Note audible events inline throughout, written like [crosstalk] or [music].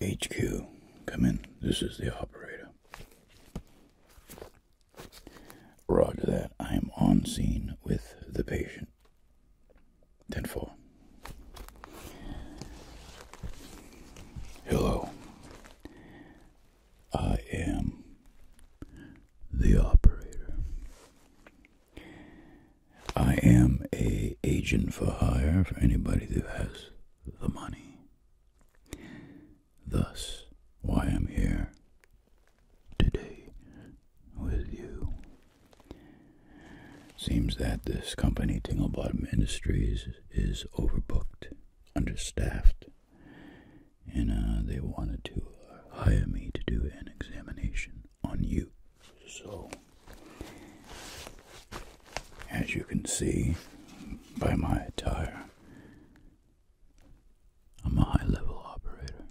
HQ, come in. This is the operator. Roger that. I am on scene with the patient. Ten four. Hello. I am the operator. I am a agent for hire for anybody who has the money. Thus, why I'm here today with you. Seems that this company, Tinglebottom Industries, is overbooked, understaffed, and uh, they wanted to hire me to do an examination on you. So, as you can see by my attire, I'm a high level operator,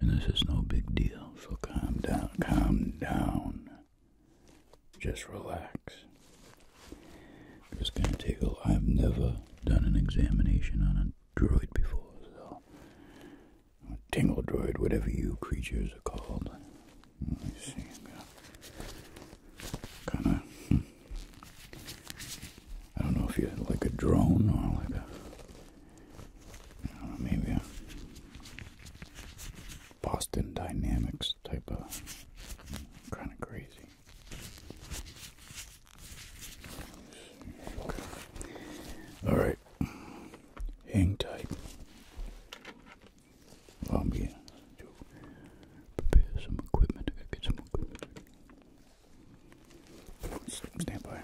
and this is no big deal, so calm down, calm down. Just relax. Just gonna take a. I've never done an examination on a droid before, so. A tingle droid, whatever you creatures are called. Let me see. I'm gonna. Kinda. kind hmm. of i do not know if you're like a drone or like a. maybe a. Boston Dynamics type of kind of crazy. All right, hang tight. I'm going to prepare some equipment. get some equipment. Stand by.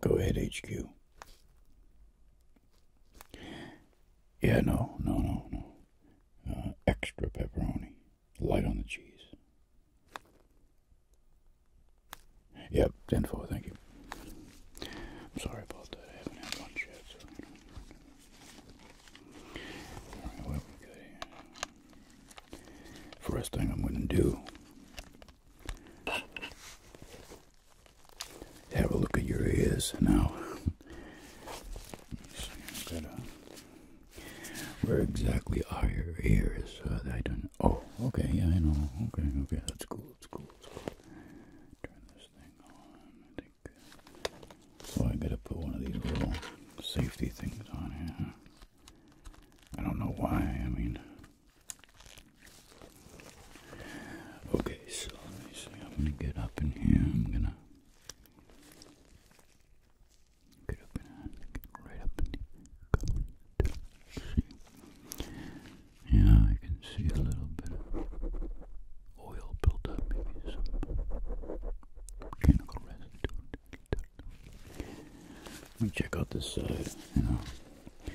Go ahead, HQ. Yeah, no, no, no, no. Uh, extra pepperoni, light on the cheese. Yep, ten four. Thank you. I'm sorry about that. I haven't had lunch yet. So. First thing I'm going to do have a look at your ears now. where exactly are your ears? Uh, I don't. Oh, okay, yeah, I know. Okay, okay, that's cool. That's cool. That's cool. Turn this thing on. I think. So oh, I gotta put one of these little safety things on here. I don't know why. I mean, Okay, so let me see. I'm gonna get up in here. I'm gonna get up in here. Get right up in here. See? Yeah, I can see a little bit of oil built Maybe some chemical residue. Let me check out this side. You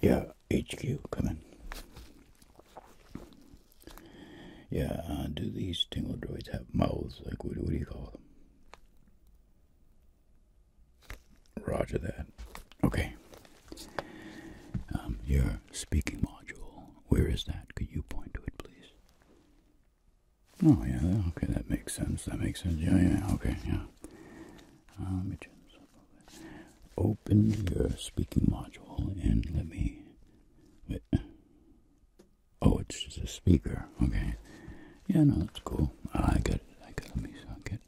Yeah, HQ, come in. Yeah, uh, do these tingle droids have mouths? Like, what, do you call them? Roger that. Okay. Um, your speaking module, where is that? Could you point to it, please? Oh, yeah, okay, that makes sense. That makes sense. Yeah, yeah, okay, yeah. Um, uh, Open your speaking module and let me. Oh, it's just a speaker. Okay. Yeah, no, that's cool. Ah, I got it. I got it. Let me get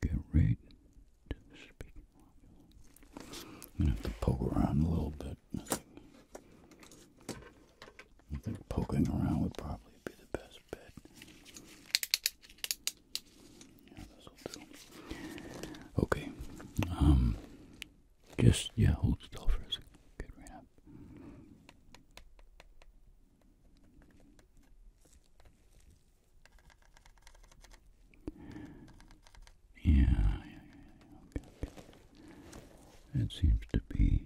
get right to the speaking module. I'm gonna have to poke around a little bit. I think poking around would probably be the best yeah, Okay. Um, just yeah, hold still for a second. Yeah, yeah, okay. That seems to be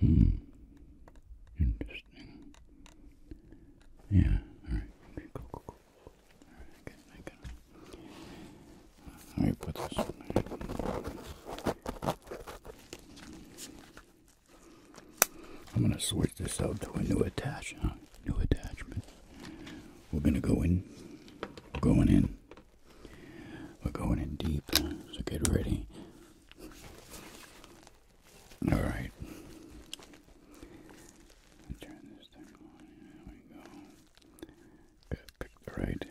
Hmm. Interesting. Yeah, alright. Okay, cool, cool, cool. Alright, okay, I got it. All right, put this I'm gonna switch this out to a new attachment new attachment. We're gonna go in. We're going in. We're going in deep. So get ready. All right. Turn this thing on. There we go. Gotta pick the right.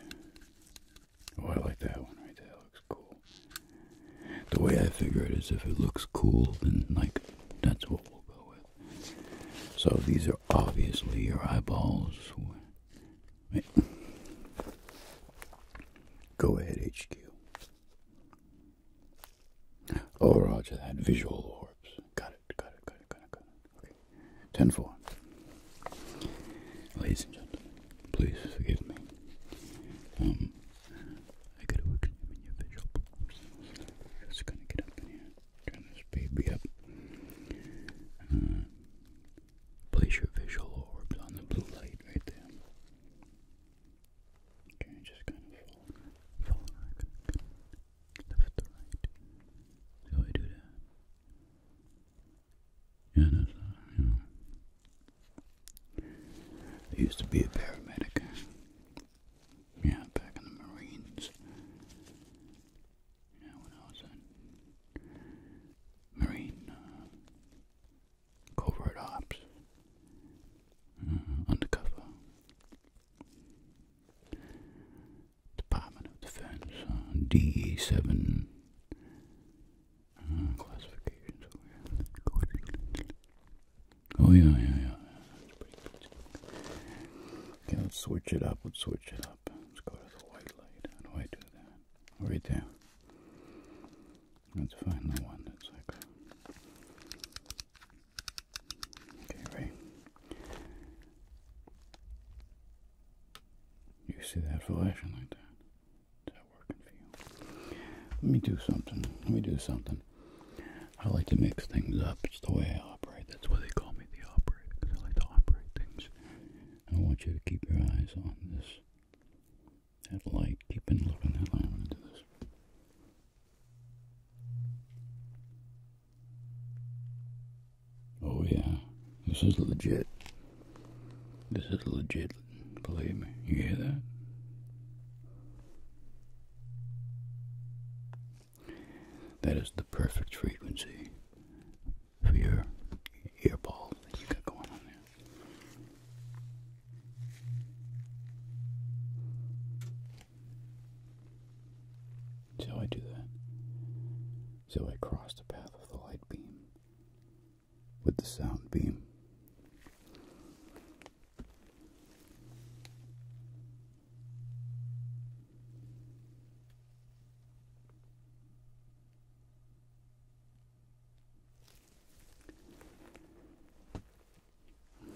Oh, I like that one right there. looks cool. The way I figure it is, if it looks cool, then like that's what we'll go with. So these are obviously your eyeballs. Right. Go ahead, HQ. Oh, Roger, that visual orbs. Got it, got it, got it, got it, got it. Okay. Ten four. Ladies and gentlemen, please forgive me. Um, I gotta examine your visual orbs. It's gonna get up in here. Turn this baby up. Uh, place your visual orbs on the blue light right there. Okay, just kind of fall, fall right, left to right. So I do that. Yeah, that's, you know. I used to be a paramedic yeah, back in the Marines. You when I was in Marine uh, covert ops, mm-hmm, undercover Department of Defense, uh, DE seven. Mm-hmm, classifications Oh yeah, yeah, yeah. Okay, let's switch it up. Let's switch it up. Let's go to the white light. How do I do that? Right there. Let's find the one that's Okay, right. You see that flashing like that? Is that working for you? Let me do something. Let me do something. I like to mix things up. It's the way I operate. That's why they call me the operator, I like to operate things. I want you to keep your eyes on this. That light. Keep looking at on that light. I'm going to do this. Oh yeah, this is legit. This is legit, believe me. You hear that? That is the perfect frequency for your ear ball that I do that? See I cross the path of the light beam with the sound beam?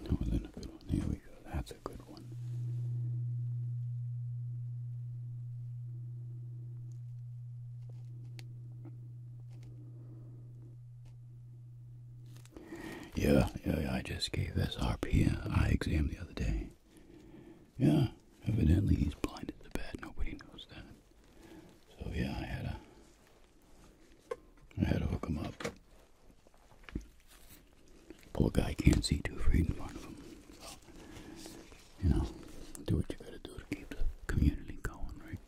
That wasn't a good one. Here we go. That's a good one. Yeah, yeah, I just gave SRP an eye exam the other day. Yeah, evidently he's blinded to bad. Nobody knows that. So yeah, I had a, I had to hook him up. Poor guy can't see too right in front of him. you know, do what you gotta do to keep the community going, right?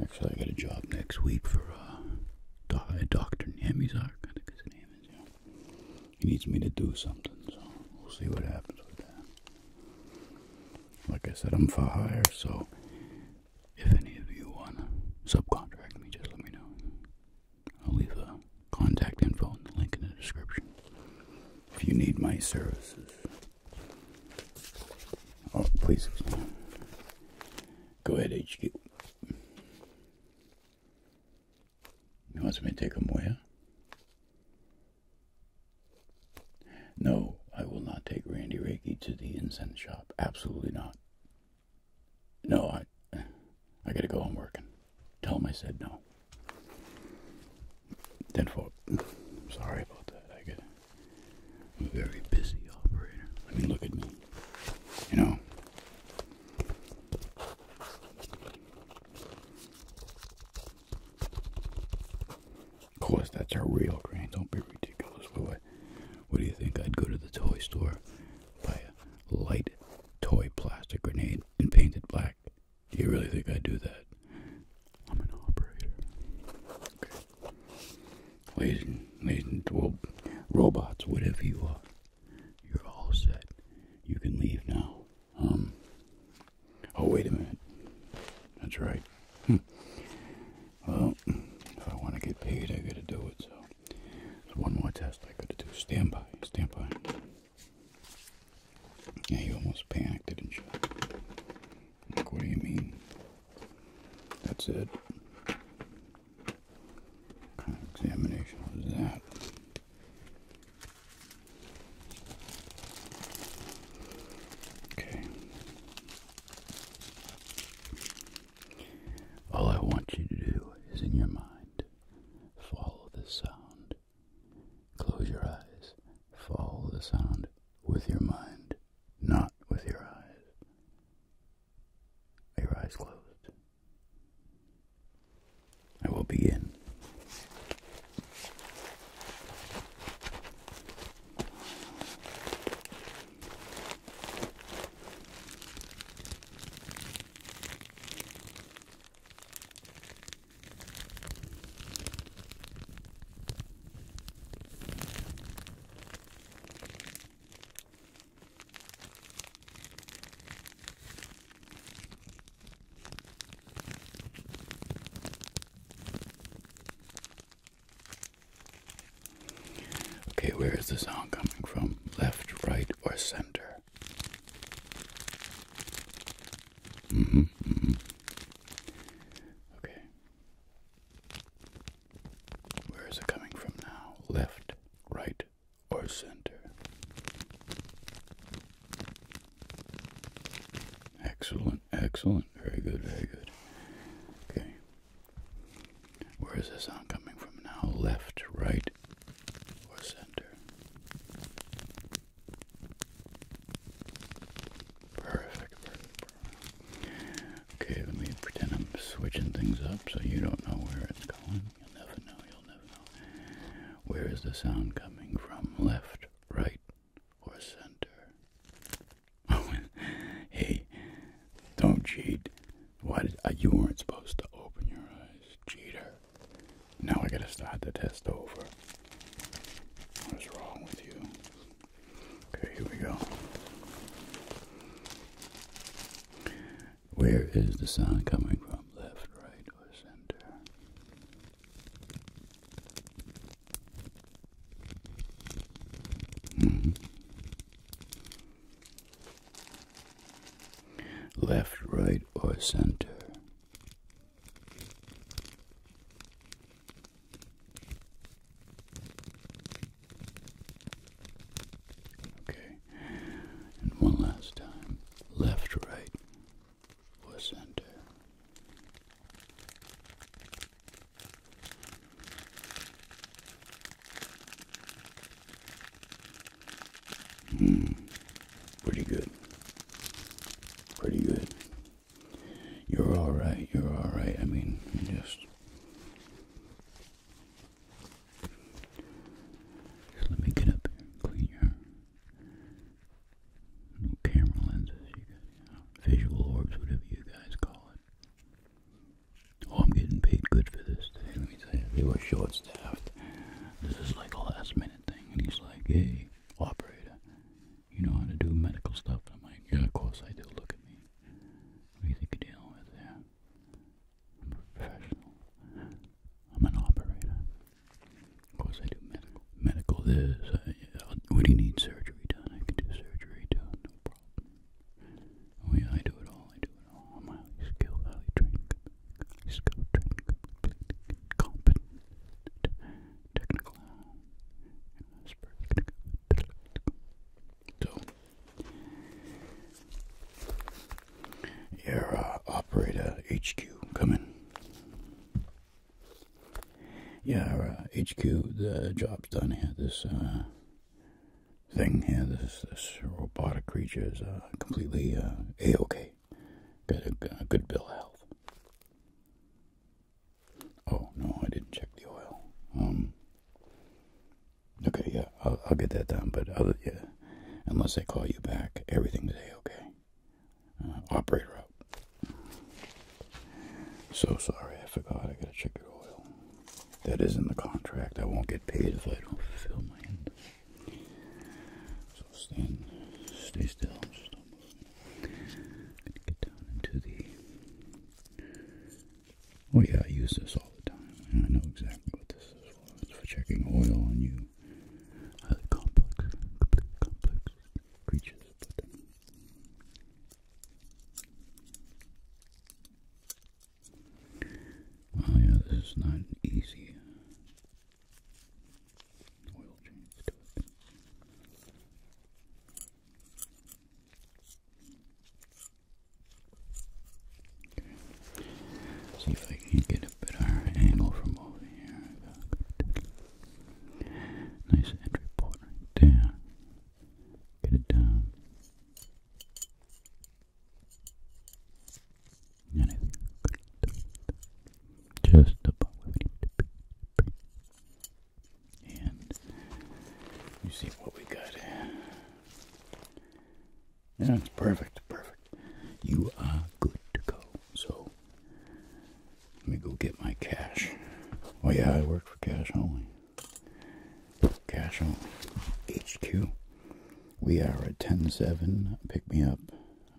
Actually, I got a job next week for uh, Dr. Namizar, I think his name is, He needs me to do something, so we'll see what happens with that. Like I said, I'm for hire, so if any of you want to subcontract me, just let me know. I'll leave the contact info and the link in the description. If you need my services. Oh, please. Go ahead, HQ. You want me to take him where? No, I will not take Randy Reiki to the incense shop. Absolutely not. No, I, I gotta go. home am working. Tell him I said no. Tenfold. sorry about that. I get, I'm very busy operator. I mean, look at me you know. Of course, that's our real train. Don't be ridiculous. What, what do you think? I'd go to the toy store, buy a light toy plastic grenade and paint it black. Do you really think I'd do that? I'm an operator. Okay. Ladies and, ladies and well, robots, whatever you are, you're all set. You can leave now. Um. Oh, wait a minute. That's right. Hmm. Well, if I want to get paid, I gotta do it. So, there's one more test I gotta do. Stand by. Stand by. Yeah, you almost panicked, didn't you? Like, what do you mean? That's it examination was that? Okay. All I want you to do is in your mind follow the sound. Close your eyes. Follow the sound with your mind, not with your eyes. Are your eyes closed? I will begin. Okay, where is the sound coming from? Left, right, or center? -hmm. Okay. Where is it coming from now? Left, right, or center? Excellent, excellent. Very good, very good. Okay. Where is the sound coming from now? Left, right, or center? Perfect, Okay, let me pretend I'm switching things up so you don't know where it's going. You'll never know, you'll never know. Where is the sound coming from? Left, right, or center? [laughs] hey, don't cheat. Why uh, you weren't supposed to open your eyes, cheater. Now I gotta start the test over. What is wrong with you? Okay, here we go. Where is the sound coming from? Left, right, or center? Mm-hmm. Left, right, or center? Okay. And one last time. Left, right, or center. Hmm. Pretty good. Pretty good. You're all right. You're all right. I mean, just let me get up and clean your little camera lenses visual orbs, whatever you guys call it. Oh, I'm getting paid good for this today, let me tell you. They were short staffed. This is like a last minute thing, and he's like, hey, operator, you know how to do medical stuff? I'm like, yeah, of course I do, look at me. What do you think you're dealing with there? I'm a professional. I'm an operator. Of course, I do medical. Medical this. I, uh, what do you need surgery done? I can do surgery done, no problem. Oh yeah, I do it all. I do it all. I'm highly skilled, highly trained, highly skilled, trained, completely competent, technical, and expert. So, Air uh, operator HQ, come in. Yeah, our, uh, HQ, the job's done here. This uh, thing here, this this robotic creature is uh, completely a-okay. Got a, good bill of health. Oh no, I didn't check the oil. Um, Okay, yeah, I'll, get that done. But other, yeah, unless they call you back, everything's a okay. Uh, operator out. So sorry, I forgot. I gotta check your oil. That is isn't the contract. I won't get paid if I don't fill mine. So stand, stay still. get down into the Oh yeah, I use this all the time. I know exactly what this is for. It's for checking oil on you. Highly complex, creatures. But, oh, yeah, this is not easy See if I can get a better angle from over here. Nice entry port right there. Get it down. Just about And you see what we got here. That's perfect, perfect. You are good to go. So let me go get my cash. Oh yeah, I work for cash only. Cash only. HQ. We are at 10-7. Pick me up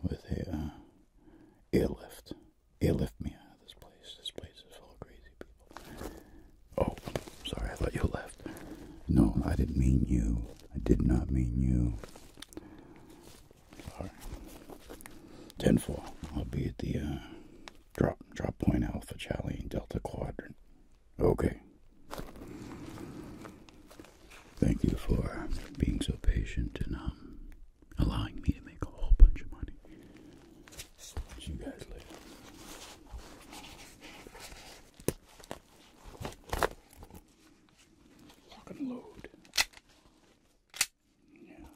with a uh, airlift. Airlift me out of this place. This place is full of crazy people. Oh, sorry, I thought you left. No, I didn't mean you. I did not mean you. Sorry. Ten four. I'll be at the uh, drop drop point Alpha Charlie Delta Quadrant. Okay. Thank you for being so patient and um, allowing me to make a whole bunch of money. See you guys later. Lock and load. Yeah.